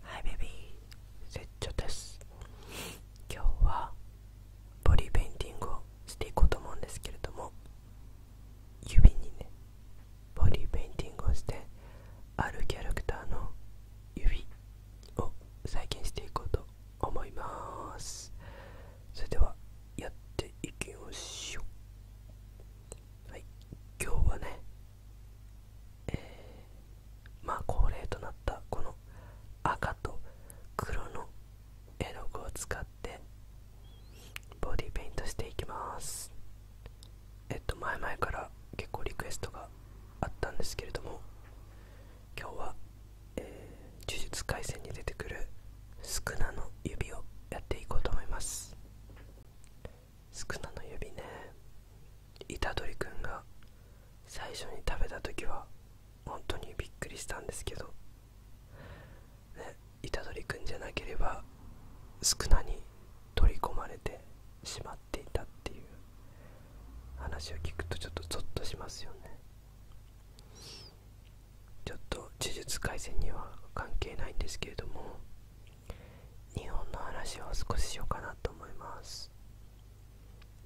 はいベビーセッチョです今日はボディペインティングをしていこうと思うんですけれども指にねボディペインティングをしてあるキャラクターの指を再現していこうと思いますそれではやっていきましょうはい今日はねえー、まあ恒例となったこの赤と黒の絵の具を使ってボディペイントしていきますえっと前々から結構リクエストがあったんですけれども今日は、え呪術廻戦に出てくる宿クの指をやっていこうと思います宿儺の指ね虎杖君が最初に食べた時は本当にびっくりしたんですけどね虎杖君じゃなければ宿儺に取り込まれてしまっていたっていう話を聞くとちょっとゾッとしますよねちょっと呪術廻戦には関係ないんですけれども日本の話を少ししようかなと思います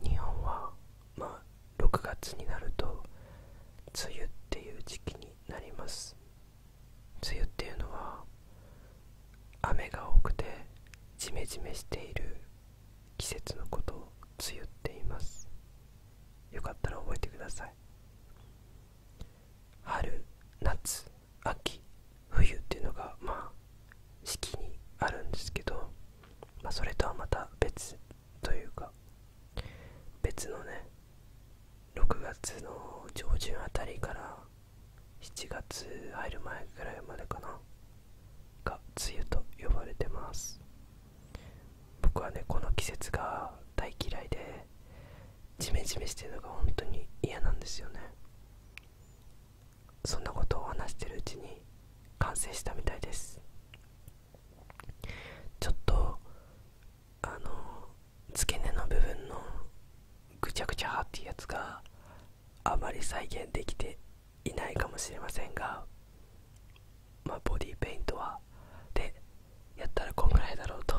日本はま6月になると梅雨っていう時期になります梅雨っていうのは雨が多くてジメジメしている季節のことを梅雨って言いますよかったら覚えてください春夏秋冬っていうのがまあ四季にあるんですけど、まあ、それとはまた別というか別のね6月の上旬あたりから7月入る前ぐらいまでかなが梅雨と呼ばれてます僕はねこの季節が大嫌いでジメジメしてるのが本当に嫌なんですよねそんなことを話してるうちに完成したみたいですちょっとあの付け根の部分のぐちゃぐちゃっていうやつがあまり再現できていないかもしれませんがまあボディーペイントはでやったらこんぐらいだろうと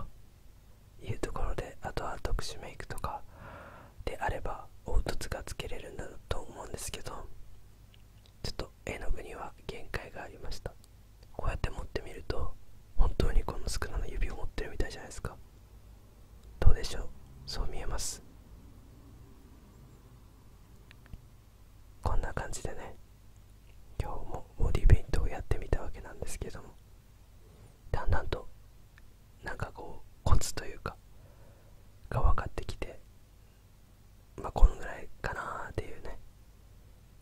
いうところであとは特殊メイクとかであれば凹凸がつけれるんだと思うんですけどちょっと絵の具には限界がありましたこうやって持ってみると本当にこの少なラの指を持ってるみたいじゃないですかどうでしょうそう見えますこんな感じでね今日もボディペイントをやってみたわけなんですけどもだんだんとなんかこうコツというかが分かってきてまあこのぐらいかなっていうね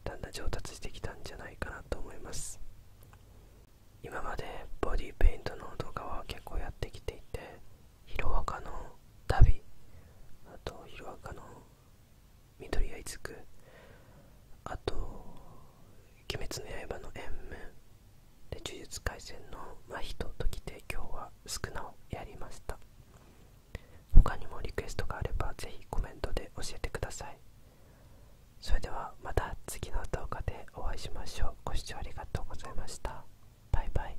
だんだん上達してきたんじゃないかなと思います今までボディペイントの動画は結構やってきていてヒロの旅あとヒロの緑あいつくあと「鬼滅の刃」の縁夢で呪術廻戦の真人ときて今日は少なをやりました他にもリクエストがあれば是非コメントで教えてくださいそれではまた次の動画でお会いしましょうご視聴ありがとうございましたバイバイ